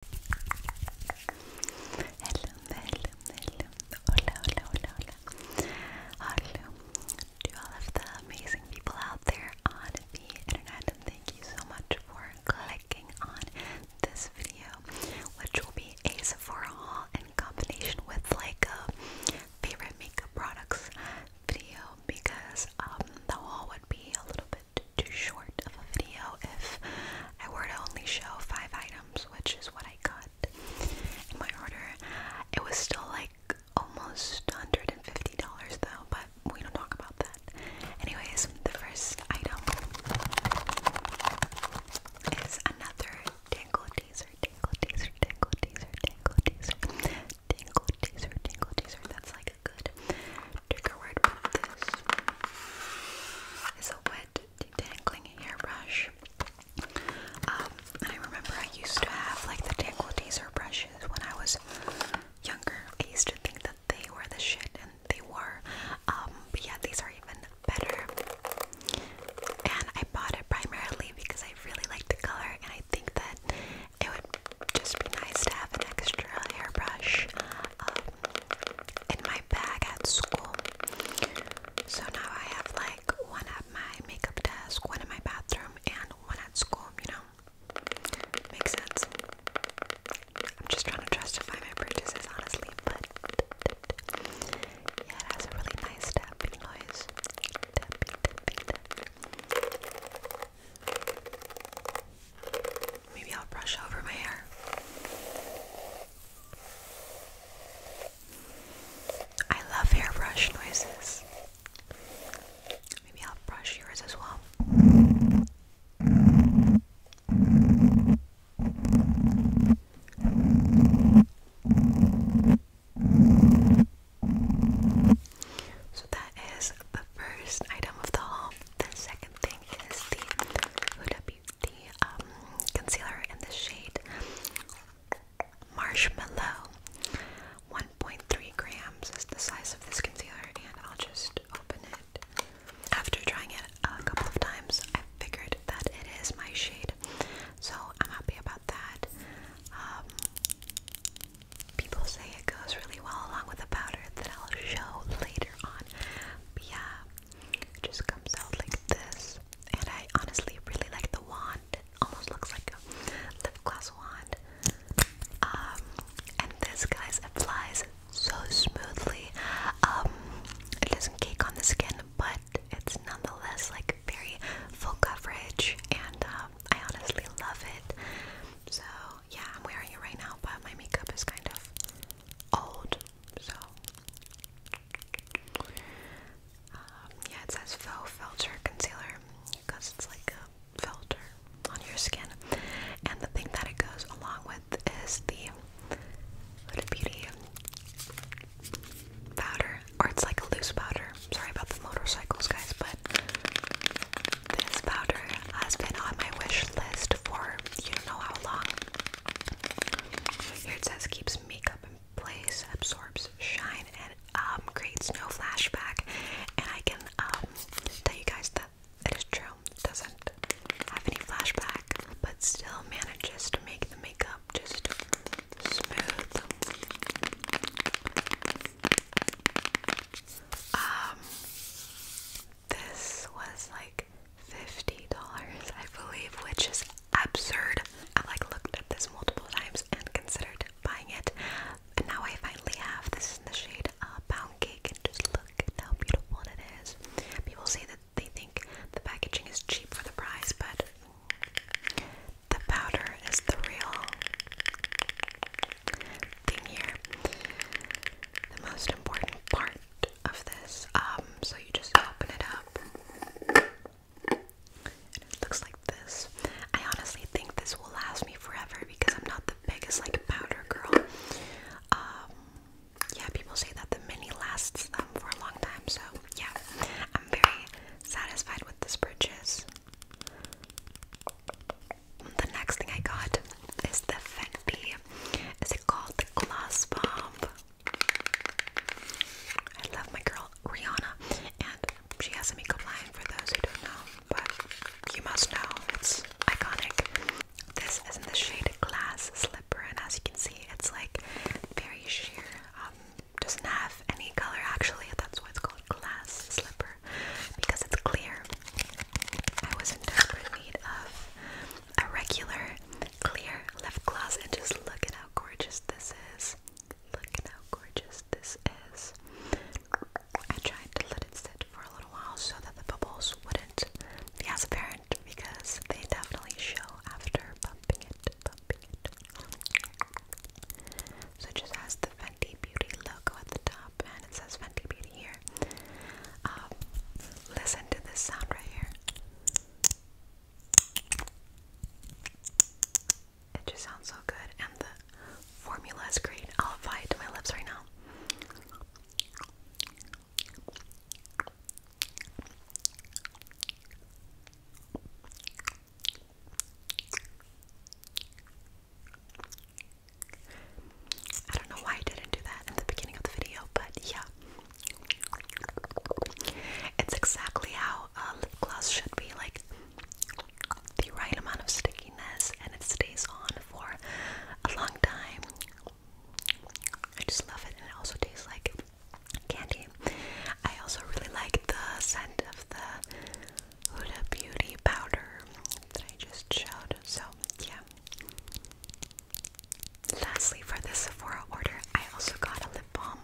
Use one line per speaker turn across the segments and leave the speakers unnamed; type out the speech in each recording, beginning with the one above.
Hello, hello, hello. Hola, hola, hola, hola. Hello to all of the amazing people out there on the internet, and thank you so much for clicking on this video, which will be a Sephora haul in combination with like a favorite makeup products video because the haul would be a little bit too short of a video if I were to only show five items, which is what I got in my order. It was still like almost $150 though, but we don't talk about that. Anyways, the first item is another tingle teaser, tingle teaser, tingle teaser, tingle teaser, tingle teaser, tingle teaser. That's like a good Trigger word with this is a wet detangling hairbrush. Um, I remember I used to have like the tangle teaser brushes when I was younger. I used to think that they were the shit, and they were. Um, but yeah, these are even better. And I bought it primarily because I really like the color, and I think that it would just be nice to have an extra hairbrush um, in my bag at school. So now I have like one at my makeup desk, one in my bathroom, and one at school, you know? Makes sense. I'm just trying to justify my purchases, honestly, but yeah, it has a really nice tapping noise. Maybe I'll brush over my hair. I love hairbrush noises. Maybe I'll brush yours as well. So that is the first item of the haul. The second thing is the Huda the um, concealer in the shade Marshmallow. 1.3 grams is the size of this concealer, and I'll just open it. After trying it a couple of times, I figured that it is my shade, so I'm happy about that. Um, people say it goes really well along with the powder that I'll show later on. yeah, it just comes out like this. And I honestly really like the wand. It almost looks like a lip gloss wand. Um, and this, guys, applies so smoothly. Um, it doesn't cake on the skin, but it's nonetheless like very full coverage. And um, I honestly love it. So yeah, I'm wearing it right now, but my makeup is kind of old. So, um, yeah, it says faux filter concealer because it's like a filter on your skin. And the thing that it goes along with is the Huda Beauty powder, or it's like a loose powder. Sorry about the motorcycles, guys, but this powder has been on my wish list for you don't know how long it says keeps makeup in place, absorbs shine, and um, creates no flashback. And I can um, tell you guys that it is true. doesn't have any flashback, but still manages to make the makeup just smooth. Um, this was like $50, I believe, which is absurd. I like looked at this multiple times and considered buying it. And now I finally have this in the shade uh, Pound Cake. And just look at how beautiful it is. People say that they think the packaging is cheap for the price, but the powder is the real thing here. The most important part of this. Um, so you just open it up. And it looks like this. I honestly think this will last me forever because I'm not the biggest like powder girl. Um, yeah, people say that the mini lasts them um, for a long time. So yeah, I'm very satisfied with this purchase. The next thing I got is the Fenty. Is it called the Glass Bomb? I love my girl Rihanna, and she has a makeup line for those who don't know, but you must know it's iconic. This is in the shade Glass Slipper, and as you can see, it's like very sheer. Um, doesn't have any color actually. That's why it's called Glass Slipper because it's clear. I was in desperate need of a regular clear lip gloss and just look at how gorgeous this is. Look at how gorgeous this is. I tried to let it sit for a little while so that the bubbles wouldn't be as apparent because they definitely show after bumping it, So just as the Fenty Beauty logo at the top and it says Fenty Beauty here. Um, listen to this sound right here. It just sounds so good, and the formula is great. I'll apply it to my lips right now. I don't know why I didn't do that in the beginning of the video, but yeah. It's exactly how uh, lip gloss should be like the right amount of stickiness and it stays on for a long time. I just love it, and it also tastes like candy. I also really like the scent of the Huda Beauty powder that I just showed, so yeah. Lastly, for this Sephora order, I also got a lip balm.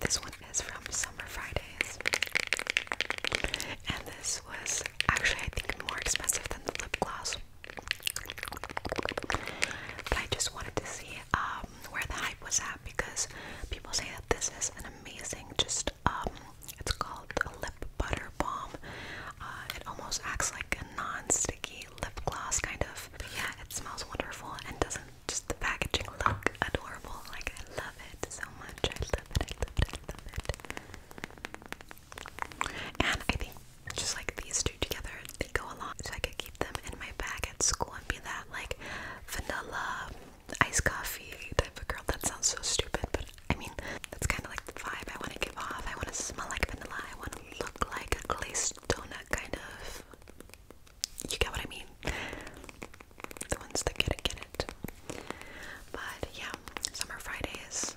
This one is from Summer Fridays. And this was actually, I think, more expensive than the lip gloss. But I just wanted to see um, where the hype was at because people say that this is an amazing, just, um, it's called a lip butter balm. Uh, it almost acts like a non sticky lip gloss kind of. yeah, it smells wonderful and doesn't just the packaging look adorable. Like I love it so much. I love it. I love it. I love it. And I think just like these two together, they go along. So I could keep them in my bag at school and be that like vanilla iced coffee type of girl. That sounds so stupid, but I mean that's kind of like the vibe I want to give off. I want to smell like vanilla. I want to look like a glazed donut, kind of. You get what I mean? The ones that get it, get it. But yeah, Summer Fridays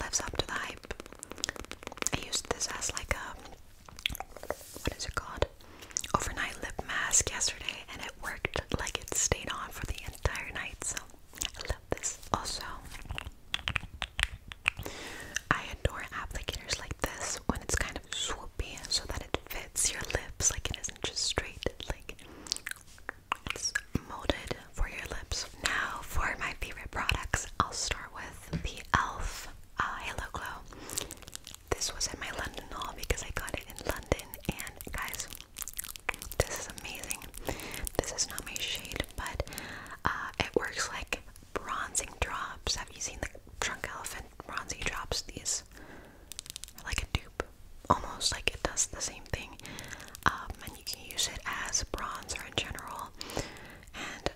lives up to the hype. I used this as like a, what is it called? Overnight lip mask yesterday, and it worked like it stayed on for the entire night, so I love this. Also, I adore applicators like this when it's kind of swoopy so that it fits your lips like it isn't just straight like it's molded for your lips. Now for my favorite products, I'll start with the e.l.f. Uh, Halo Glow. This was in my London haul because I got it in London and guys, this is amazing. This is not my shade, but uh, it works like bronzing drops. Have you seen the trunk elephant bronzing drops? These are like a dupe, almost like it does the same thing. Um, and you can use it as bronzer in general. And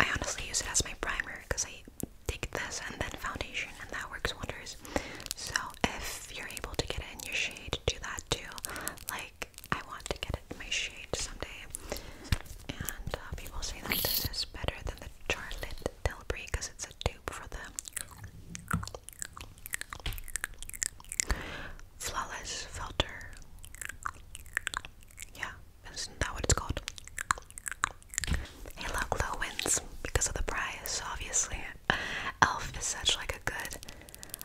I honestly use it as my primer because I take this and then foundation, and that works wonders. So if you're able to get in your shade, do that too. Like I want to get my shade someday. And uh, people say that this is better than the Charlotte Tilbury because it's a dupe for the Flawless Filter. Yeah, isn't that what it's called? Hey, Glow wins because of the price, obviously. Elf is such like a good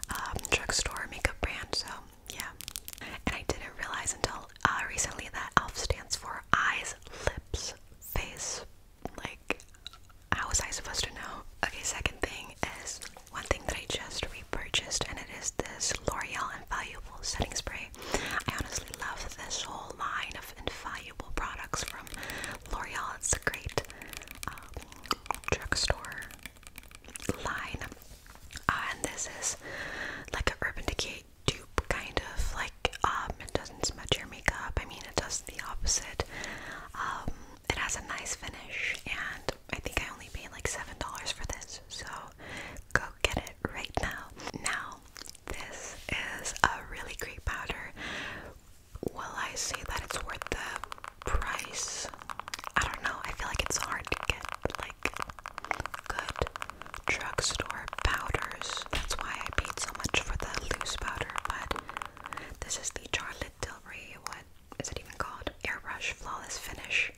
um, drugstore makeup brand, so yeah. And I didn't realize until uh, recently that ELF stands for eyes, lips, face. Like, how was I supposed to know? Okay, second thing is one thing that I just repurchased, and it is this L'Oreal Invaluable Setting Spray. I honestly love this whole line of invaluable products from L'Oreal. It's a great um, drugstore line. Uh, and this is like an Urban Decay dupe, kind of like um, it doesn't smudge your makeup. I mean, it does the opposite. Um, it has a nice finish, and I think I only paid like seven dollars for this, so go get it right now. Now, this is a really great powder. Will I say that it's worth the price? I don't know. I feel like it's hard to get like good drugstore powders. That's why I paid so much for the loose powder, but this is the Charlotte Tilbury, what is it even called? Airbrush Flawless Finish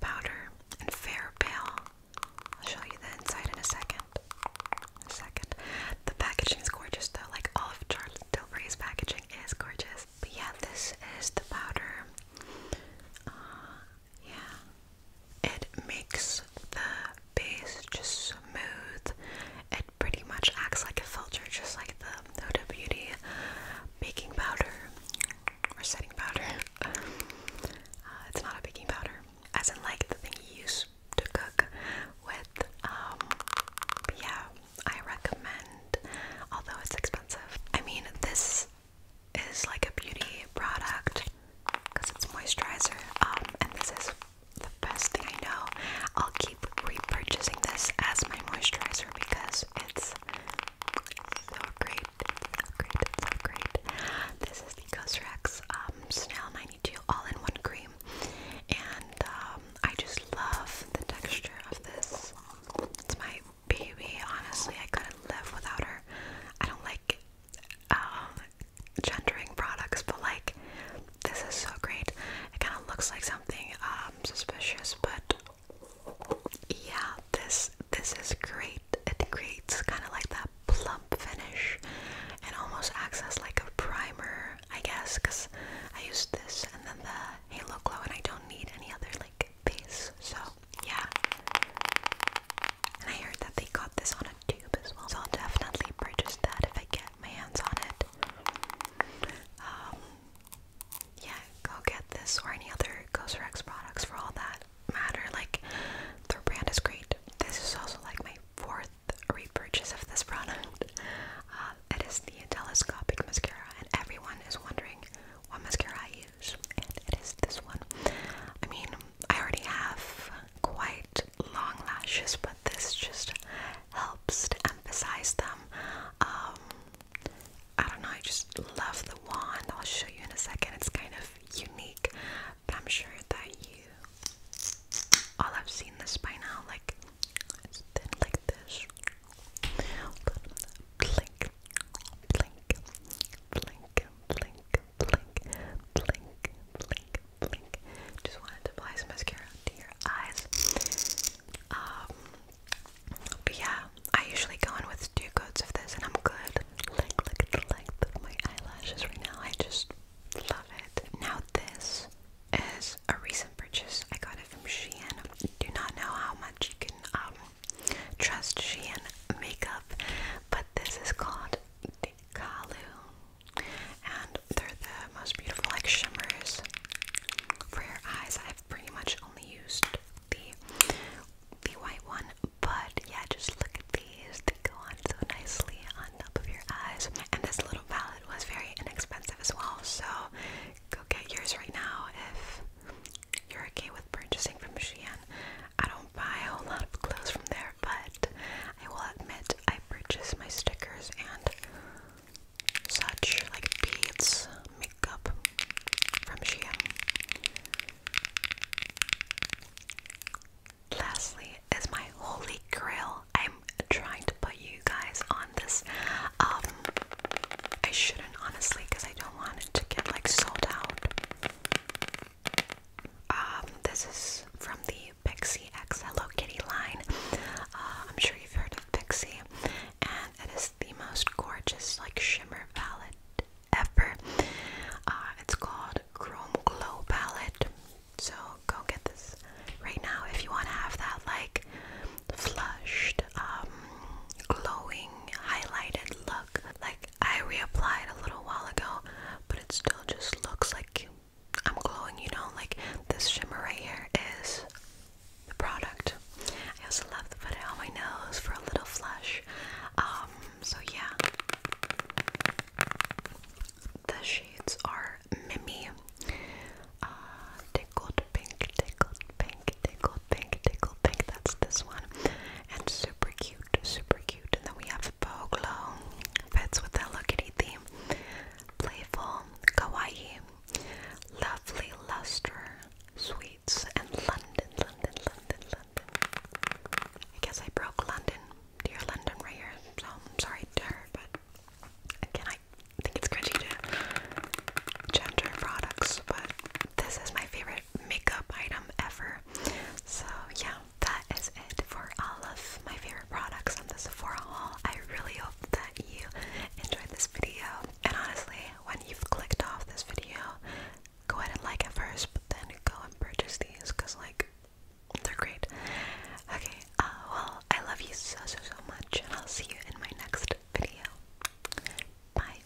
Powder and Fair Pale. I'll show you the inside in a second. In a second. The packaging is gorgeous though, like all of Charlotte Tilbury's packaging is gorgeous. But yeah, this is the powder. Uh, yeah, it makes the base just smooth. It pretty much acts like a filter, just like the Huda Beauty baking powder or setting powder. Uh, it's not a baking powder, as in like the thing you use to cook with. Um, yeah, I recommend. Although it's expensive, I mean this is like a beauty product because it's moisturizer. Um, and this is the best thing I know. I'll keep repurchasing this as my moisturizer because it's so great. great. great. This is the Cosrx um, Snail 92 All-in-One Cream, and um, I just love the texture of this. It's my baby. Honestly, I couldn't live without her. I don't like um, gendering products, but like this is so great. It kind of looks like something um, suspicious, but yeah, this this is great. It creates kind of like that plump finish. It almost acts as like a primer, I guess, because I use this and then the Halo Glow, and I don't need any other like this. So yeah. And I heard that they got this on a tube as well. So I'll definitely purchase that if I get my hands on it. Um, yeah, go get this or any other Ghost Rex products for all that matter. Like their brand is great. This is also like my fourth repurchase of this product. Uh, it is the telescopic mascara, and everyone is wondering what mascara I and it is this one. I mean, I already have quite long lashes, but this just helps to emphasize them. Um, I don't know, I just love the wand. I'll show you in a second. It's kind of unique, I'm sure that you all have seen this by now. Like, like this. Blink, blink, blink, blink, blink, blink, blink, blink, Just wanted to apply some mascara to your eyes. Um, but yeah, I usually go in with two coats of this and I'm good. Like, look at my eyelashes right now. I just love it. Now this is a recent purchase. I got it from Shein. Do not know how much you can um Trust Shein makeup, but this is called the Kalu, and they're the most beautiful like shimmers for your eyes. I've pretty much only used the the white one, but yeah, just look at these. They go on so nicely on top of your eyes. And this little palette was very inexpensive as well, so go get yours right now if you're okay with purchasing from Shein. I don't buy a whole lot of clothes from there, but I will admit I purchase my stickers and such like beads, makeup from Shein. Lastly is my holy grail. I'm trying to put you guys on this um, I shouldn't honestly because I don't want it to get like sold out. Um, this is from the Pixie X Hello Kitty line. Uh, I'm sure you've heard of Pixie, and it is the most gorgeous like shimmer palette ever. Uh, it's called Chrome Glow Palette. So go get this right now if you want to have that like flushed, um, glowing, highlighted look. Like I reapplied a little while ago, but it still just looks like I'm glowing, you know, like this shimmer right here is the product. I also love to put it on my nose for a little flush. Um, so yeah. The shades are Mimi. Uh, tickled pink, tickled pink pink, tickled pink, tickled pink. That's this one. And super cute, super cute. And then we have Poglo. Fits with the Hello Kitty theme. Playful, kawaii, lovely luster, sweets, and London, London, London, London. I guess I broke London, dear London, right here. So I'm sorry dear, but again, I think it's cringy to gender products, but this is my favorite makeup item ever. So yeah, that is it for all of my favorite products on the Sephora haul. I really hope that you enjoyed this video. And honestly, when you've clicked off this video, go ahead and like it first, but then go and purchase these because like they're great. Okay, uh, well, I love you so so so much, and I'll see you in my next video. Bye.